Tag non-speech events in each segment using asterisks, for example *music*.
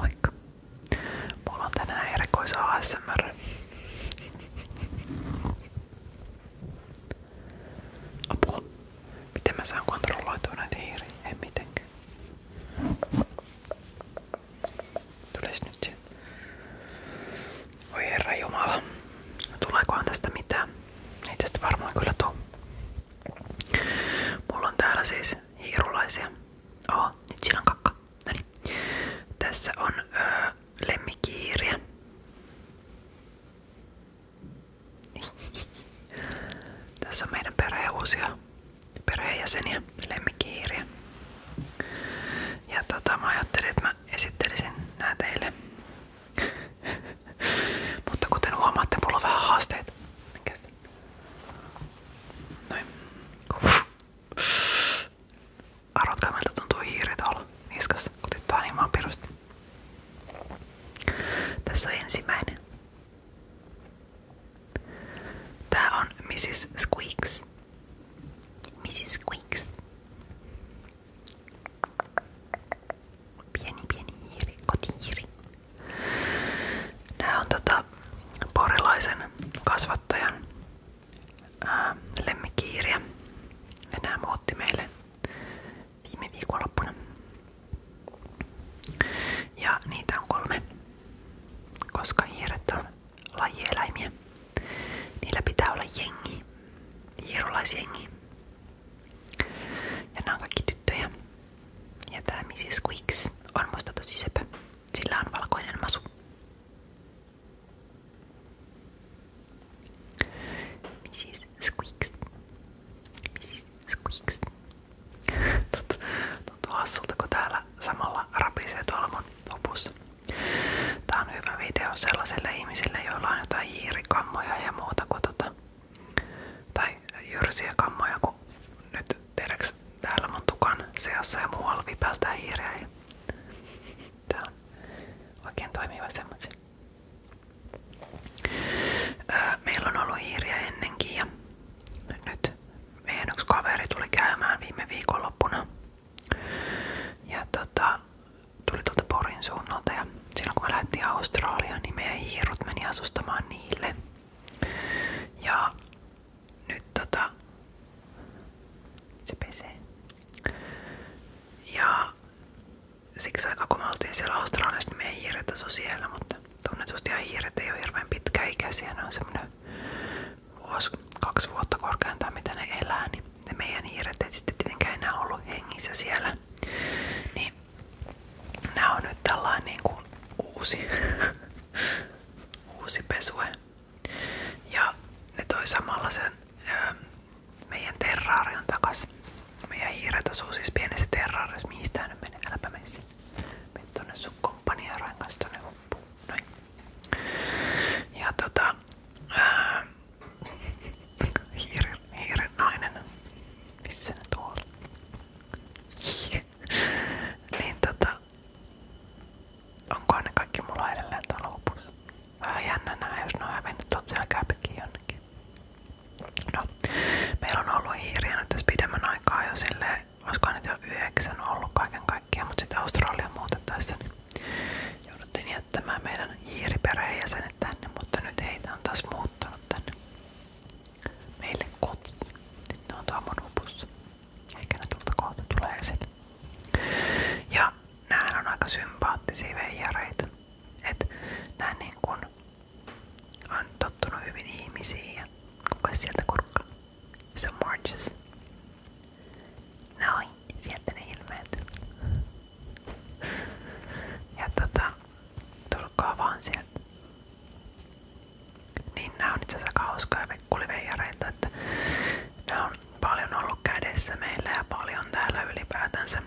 Moikka. Mulla on tänään erikois ASMR. Apua. Miten mä saan kontrolloitua näitä hiiriä? En mitenkään. Tulis nyt se. Oi herra jumala. Tuleekohan tästä mitään? Ei tästä varmaan kyllä tuu. Mulla on täällä siis hiirulaisia. Oh, nyt siinä on kakka. Noniin. Tässä on öö, lemmikiiriä. *laughs* Tässä on meidän perheen uusia perheenjäseniä, lemmikiiriä. Ja tota, mä ajattelin, että mä esittelisin nää teille. *laughs* Mutta kuten huomaatte, mulla on vähän haasteita. Mikästä? Noin. Arvatkaa miltä tuntuu hiiri tuolla niskassa, kutittaa niin maan pirusti. Tässä on ensimmäinen. Tää on Mrs. Squeaks. Mrs. Squeaks. Pieni pieni hiiri, kotihiiri. Nämä on tota porilaisen kasvattajan ää, lemmikiiriä. nämä muutti meille viime viikonloppuna. Ja niitä on kolme, koska hiiret on lajieläimiä. Niillä pitää olla jengi, hiirolaisjengi. Ja nämä on kaikki tyttöjä. Ja tää Mrs. Squeaks on musta tosi söpö. Sillä on valkoinen masu. Mrs. Squeaks. Mrs. Squeaks. *laughs* Tuntuu, tuntuu hassulta, kun täällä samalla rapisee tuolla mun lopussa. Tää on hyvä video sellaiselle ihmiselle, joilla on jotain hiirikammoja ja muuta, kun tota, tai jyrsiä kammoja, kun nyt tiedäks täällä mun tukan seassa ja muualla vipältää hiireä. Ja... Tää on oikein toimiva semmoisen. Meillä on ollut hiiriä ennenkin ja nyt meidän yksi kaveri tuli käymään viime viikonloppuna. Ja tota, tuli tuolta Porin suunnalta ja silloin kun me lähdettiin Australiaan, niin meidän hiirut meni asustamaan niille. Ja nyt tota se pesee. Ja siksi aika kun me oltiin siellä Australiassa, niin me ei hiiret mutta tunnetusti ihan hiiret ei ole hirveän pitkäikäisiä. Ne kaksi vuotta korkeintaan, mitä ne elää, niin ne meidän hiiret ei ollut hengissä siellä. Niin Nää on nyt tällainen niinku uusi, *laughs* uusi pesue. Ja ne toi samalla sen öö, meidän terraarion takas. Meidän hiiret asuu siis pienessä terraariossa. Mihin tää nyt menee? Äläpä mene sinne. Mene tonne sun komppaniarojen kanssa tonne huppuu. Noin. Ja tota... Öö, ähm, *laughs* hiiren, hiiren nainen. Missä ne tuolla? *laughs* niin tota, onkohan ne kaikki mulla edelleen tuolla lopussa? Vähän jännä nää, jos ne on hävinnyt tuolta selkääpäkin jonnekin. No, meillä on ollut hiiriä nyt tässä pidemmän aikaa jo silleen, olisikohan nyt jo yhdeksän ollut kaiken kaikkiaan, mutta sitten Australia muutettaessa niin jouduttiin jättämään meidän hiiriperheenjäsenet tänne, mutta nyt heitä on taas muuttanut tänne meille kotiin. Nyt ne on tuolla lopussa. Ehkä ne tuolta kohta tulee esille. Ja näähän on aika sympaattisia veijareita. Että nää niin kun on tottunut hyvin ihmisiin ja kuka sieltä kurkkaa? Se on Marges. Noin, sieltä ne ilmeet. Ja tota, tulkaa sieltä. Niin nää on itse asiassa hauskaa vekkuliveijareita, että on paljon ollut kädessä meillä ja paljon täällä ylipäätänsä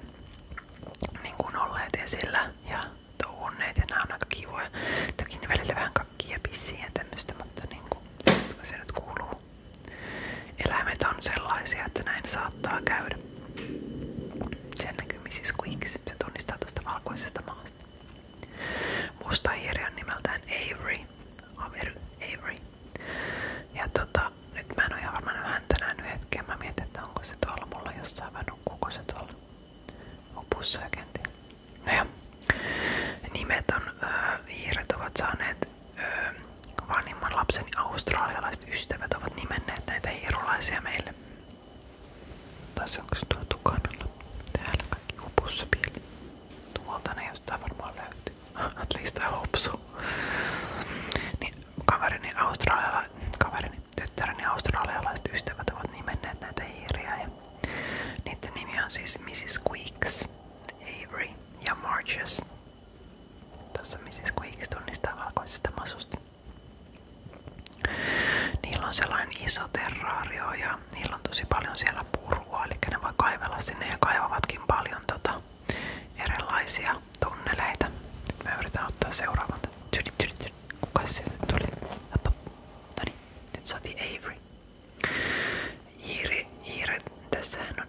niin kuin olleet esillä ja touhunneet ja nää on aika kivoja. Toki vähän kakkia ja pissiä mutta niin kuin, se kuuluu. Eläimet on sellaisia, että näin saattaa käydä. Sen Kymisissä Queens. Se tunnistaa tuosta valkoisesta maasta. Musta hiiri on Avery. Avery. Avery. Ja tota, nyt mä en oo ihan varma häntä nähnyt että onko se tuolla mulla jossain vai nukkuuko se tuolla opussa ja kenties. No joo. Nimet on, ö, hiiret ovat lapseni australialaiset ystävät ovat nimenneet näitä hiirulaisia meille. Tässä onko se tuo tukanalla? Täällä kaikki Tuolta ne jostain varmaan löytyy. *laughs* At least I hope so. Niin, kaverini australialaiset, kaverini, tyttäreni australialaiset ystävät ovat nimenneet näitä hiiriä. Ja niiden nimi on siis Mrs. Queeks, Avery ja Marches. Tässä on Mrs. Queeks tunnistaa valkoisesta masusta. Niillä on sellainen iso terraario ja niillä on tosi paljon siellä purua, eli ne voi kaivella sinne ja kaivavatkin paljon tota, erilaisia tunneleita. Mä yritän ottaa seuraavan. Tyri, tyri, tyri. Kuka sieltä tuli? Appa. Noniin, nyt saatiin Avery. Hiiri, hiiret, tässähän on.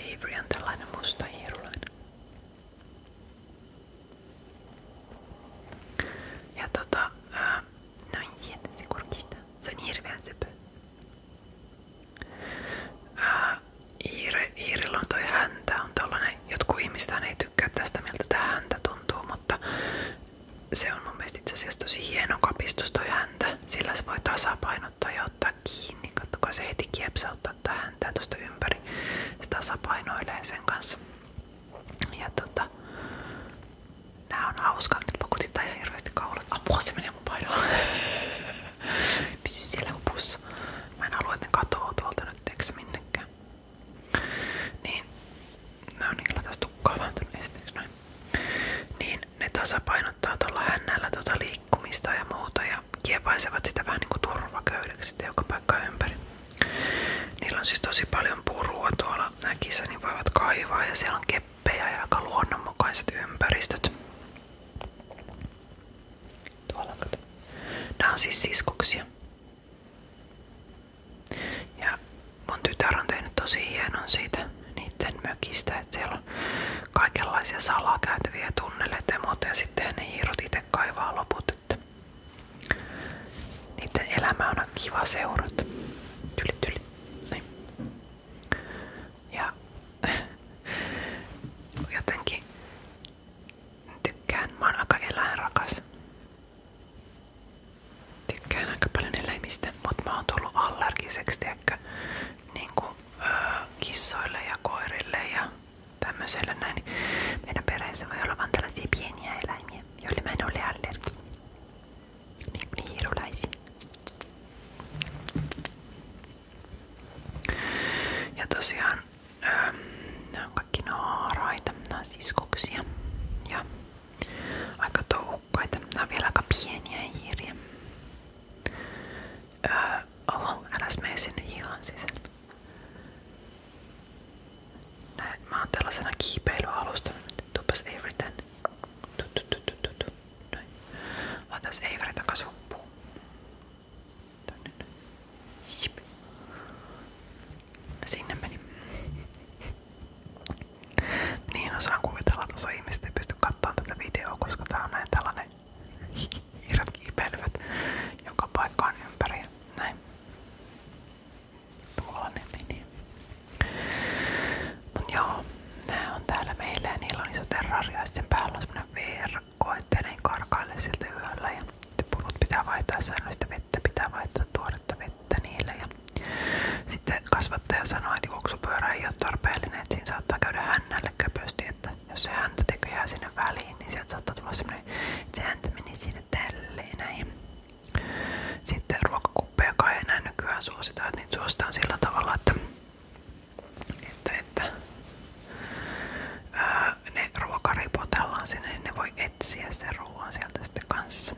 Avery on tällainen musta hiirulainen. Ja tota, noin niin, sieltä se kurkistaa. Se on hirveän Iire, Iirillä on toi on tollanen, jotkut ihmistä ei tykkää tästä miltä tää häntä tuntuu, mutta se on mun mielestä itse asiassa tosi hieno kapistus toi häntä, sillä se voi tasapaino saanut toi ottaa kiinni. Kattokaa se heti kiepsauttaa tähän tää tosta ympäri. Se tasapainoilee sen kanssa. Ja tota, nää on hauskaa, että pakotittaa ihan hirveästi kaulat. Apua se menee mun painoon. *laughs* Pysy siellä hupussa. Mä en halua, että tuolta nyt teksä Niin, no niillä taas tukkaa vähän Niin ne tasapainottaa tuolla hännällä tuota liikkumista ja muuta ja ja kiepaisevat sitä vähän niin kuin turvaköydeksi joka paikka ympäri. Niillä on siis tosi paljon purua tuolla, nämä kisani niin voivat kaivaa ja siellä on keppejä ja aika luonnonmukaiset ympäristöt. Tuolla kato. Nämä on siis siskuksia. Ja mun tytär on tehnyt tosi hienon siitä niiden mökistä, että siellä on kaikenlaisia salakäytäviä tunneleita ja muuta. Ja sitten ne hiirut itse kaivaa loput. Että niiden elämä on kiva seurata. Tyli, tyli. Niin. Ja *laughs* jotenkin tykkään. Mä oon aika eläinrakas. Tykkään aika paljon eläimistä, mutta mä oon tullut allergiseksi, tiedäkö? niin kuin, öö, kissoille ja koirille ja tämmöiselle näin. Niin meidän perheessä voi olla vain tällaisia pieniä eläimiä, joille mä en ole allergi. Niin kuin hiirulaisia. Ja tosiaan öö, nämä on kaikki naaraita, nämä on siskoksia ja aika touhukkaita. Nämä on vielä aika pieniä hiiriä. Öö, oho, äläs sinne hihan sisään. Näin, mä oon tällaisena kiipeilyalustana nyt. Tupas Avery tänne. Noin. Laitas Sinne meni. Niin osaan kuvitella, että osa ihmistä ei pysty katsomaan tätä videoa, koska tää on näin tällainen *laughs* Hiiret kiipeilivät joka paikkaan ympäri. Näin. Tuolla ne niin, meni. Niin. Mut joo, on täällä meillä ja iso terraria päällä on semmonen verkko, ettei siltä yöllä. Ja purut pitää vaihtaa säännöllistä vettä, pitää vaihtaa tuoretta vettä niille. Ja sitten kasvattaja sanoi, että juoksupyörä ei ole tarpeellinen, että siinä saattaa käydä hännälle köpösti, että jos se häntä tekee jää sinne väliin, niin sieltä saattaa tulla semmoinen, että se häntä meni sinne tälleen näin. Sitten ruokakuppeja kai enää nykyään suositaan, että niitä suositaan sillä tavalla, että, että, että ää, ne ruoka ripotellaan sinne, niin ne voi etsiä sen ruoan sieltä sitten kanssa.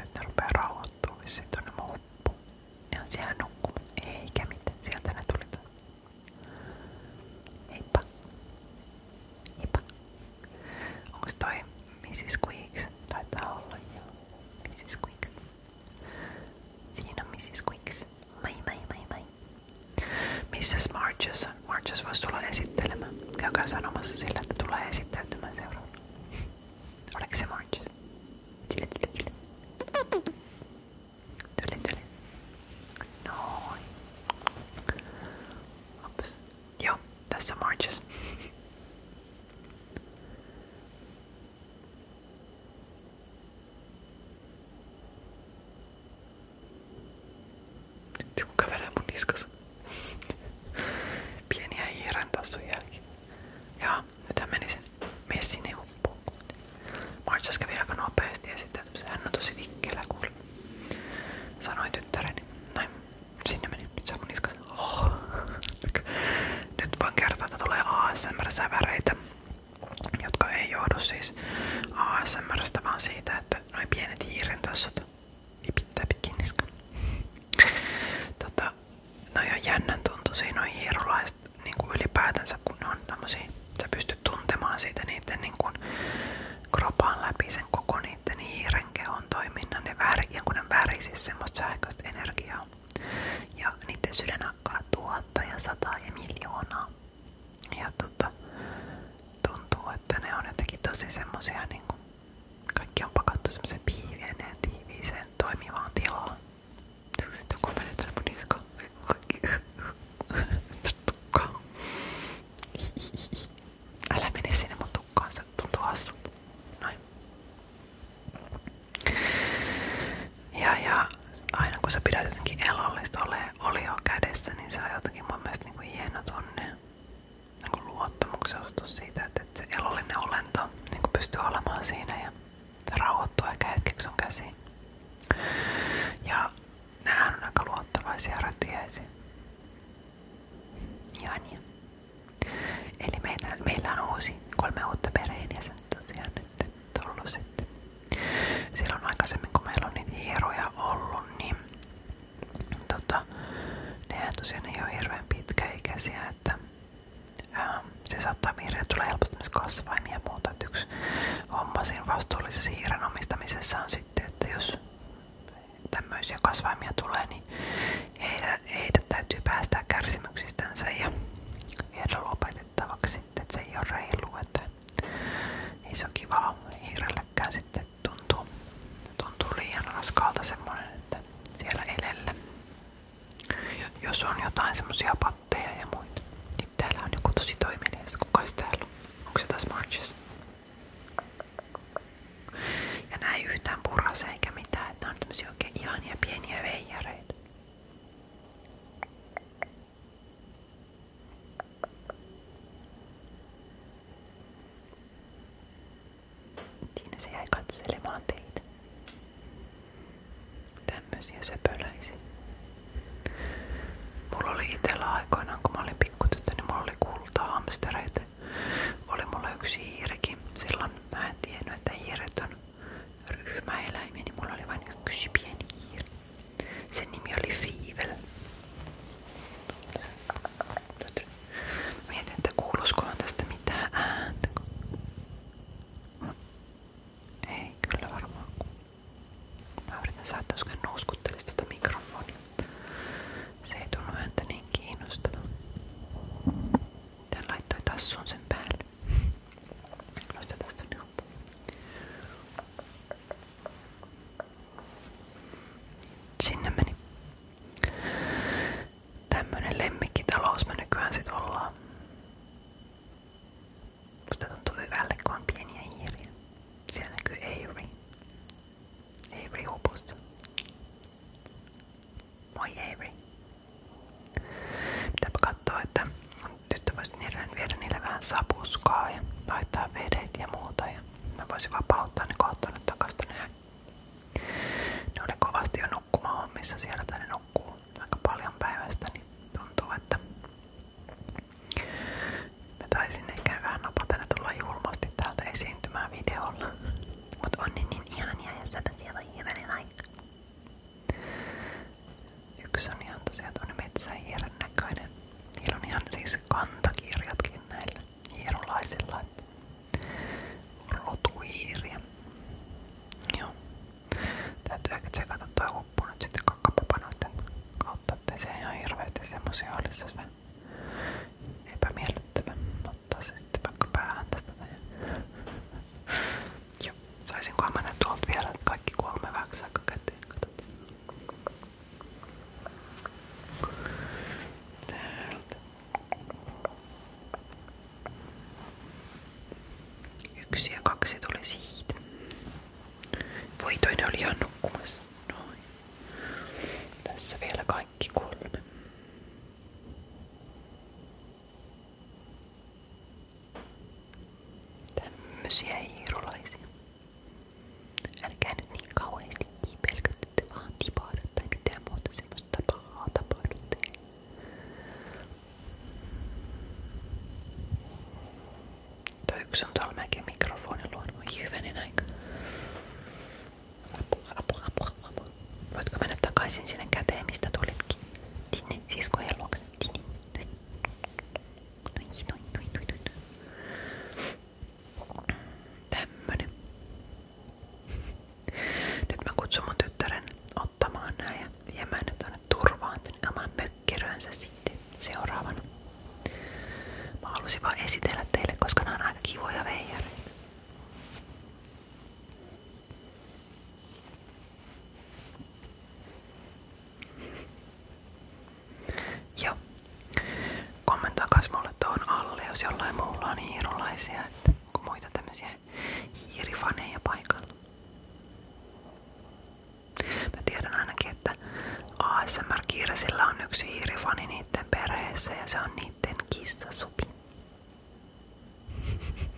Nyt ne rupeaa rauhoittua, vissiin tonne muuppuun. Ne on siellä nukkunut. Eikä mitään. Sieltä ne tuli taas. Heippa. Heippa. Onks toi Mrs. Quicks? Taitaa olla Mrs. Quicks. Siinä Mrs. Quicks. Mai mai mai mai. Missäs Marges on? voisi tulla esittelemään. Käykää sanomassa sillä, että tulee esittäytymään seuraavana. Ahora que se marches. Chile, No. Ah, pues, yo, that's se *laughs* Tengo que ver *laughs* Viene ahí soy alguien. Ja nythän meni sen messin huppuun. Marchas kävi aika nopeasti ja sitten hän on tosi vikkelä kuulemma. Sanoin tyttäreni. Näin, sinne meni. Nyt se on mun niskassa. Oh. *laughs* Nyt voin kertoa, että tulee ASMR-säväreitä, jotka ei johdu siis ASMRstä, vaan siitä, että noin pienet hiiren tassut vipittää niin pitkin niskan. *laughs* Tota, no on jännän tuntuisia noin hierolaiset niin ylipäätänsä, kun ne on tämmösiä, sä pystyt tuntemaan siitä niiden niin kuin, kropaan läpi sen koko niiden hiiren kehon toiminnan, ne väri, jonkun väri siis semmoista sähköistä energiaa. Ja niiden sydän hakkaa tuhatta ja sataa ja miljoonaa. Ja tota, tuntuu, että ne on jotenkin tosi semmosia niinku kaikki on pakattu semmoisen piivieneen tiiviiseen toimivaan tilaan. Nyt joku menee tänne mun niskaan. Tukkaan. *laughs* Älä mene sinne mun tukkaan, se tuntuu hassulta. Noin. Ja, ja aina kun sä pidät jotenkin elollista ole olioa kädessä, niin se on jotenkin mun mielestä niin kuin hieno tunne niin luottamuksen osoitus siitä, että, että se elollinen olento niin pystyy olemaan siinä ja rauhoittua ehkä hetkeksi sun käsiin. Ja näähän on aika luottavaisia rötiäisiä. Ja niin. Eli meillä, meillä on uusi, kolme uutta perheenjäsentä tosiaan nyt tullut sitten. Silloin aikaisemmin kun meillä on niitä hieroja ollut, niin Tota, nehän tosiaan ei ole hirveän pitkäikäisiä, että ää, se saattaa vihreä tulee helposti myös kasvaimia ja muuta. Et yksi homma siinä vastuullisessa hiiren omistamisessa on sitten, että jos tämmöisiä kasvaimia tulee, niin heidät, heidät täytyy päästää kärsimyksistänsä ja viedä lopetettavaksi. Sitten, että se ei ole reilu, että ei se ole kivaa hiirellekään sitten nyt tuntuu, tuntuu liian raskalta semmonen, että siellä elellä. Jos on jotain semmosia patteja ja muita. Niin täällä on joku tosi toimilias. Kukas täällä on? Onko se taas Marches? Ja näin yhtään purase eikä mitään. Että on tämmösiä oikein ihania pieniä veijareita. Siinä se jäi katselemaan teitä. Tämmöisiä söpöläisiä. Mulla oli itellä aikoinaan, kun mä olin pikkutyttö, niin mulla oli kultaa hamstereita. Oli mulla yksi hiirikin. Silloin mä en tiennyt, että hiiret on ryhmäeläimiä, niin mulla oli vain yksi pieni hiiri. Sen nimi oli Fiivel. Tätä Mietin, että kuuluskohan tästä mitään ääntä. Ei, kyllä varmaan. Mä yritän saada, jos nouskuttelisi tuota mikrofonia. Se ei tunnu ääntä niin kiinnostavaa. Tän laittoi tassun sen päälle. Nosta tästä nyt. Sinne meni. Tämmönen lemmikkitalous me nykyään sit ollaan. Musta tuntuu hyvälle, kun on Siellä näkyy Avery. Avery hupussa. Moi Avery. Pitääpä katsoa, että tyttö voisi viedä niille vähän sapuskaa ja laittaa vedet ja muuta. Ja mä voisin vapauttaa ne että takaisin tuonne ne kovasti jo nukkumaan hommissa siellä, tai ne aika paljon päivästä, niin tuntuu, että mä taisin ehkä vähän napatella täältä esiintymään videolla. Mut on niin, niin ihania ja säpäsiä voi hyvänen aika. on ihan tosiaan tuonne metsähiiren näköinen. Niillä on ihan siis kantakirjatkin näillä hierolaisilla rotuhiiri. Joo. Täytyy ehkä tsekata toi huppu nyt sitten kakkapapanoiden kautta, ettei se ihan hirveesti semmosia olisi se epämiellyttävä. Ottaa se sitten vaikka päähän tästä näin. Joo. Saisinkohan mä ne tuolta vielä kaikki kolme väksää käteen. Katsotaan. Täältä. Yksi ja kaksi tuli siitä. Voi toinen oli ihan Tässä vielä kaikki kolme. Tämmöisiä hiirulaisia. Älkää nyt niin kauheasti pelkätte vaan tipaada tai mitään muuta semmoista pahaa tapahdu teille. Toi yksi on tuolla mäkin mikrofonin luona. Oi hyvänen aika. Apua, apua, apua, apua. Voitko mennä takaisin sinne käteen, mistä tulitkin? Tinne, siskojen luokse. Tinne. Noin, noin, noin, noin, noin. Tämmönen. *laughs* Nyt mä kutsun mun tyttären ottamaan nää ja viemään ne tuonne turvaan tänne oman mökkirönsä sitten seuraavana. Mä halusin vaan esitellä teille, koska nämä on aika kivoja veijareita. Joo. Kommentoi kans mulle tuohon alle, jos jollain muulla on hiirulaisia, että onko muita tämmöisiä hiirifaneja paikalla. Mä tiedän ainakin, että ASMR Kirsillä on yksi hiirifani niiden perheessä ja se on niiden kissasupi. *laughs*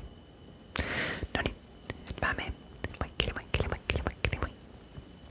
no niin, sit mä menen. Moikkeli, moikkeli, moikkeli, moikkeli, moi.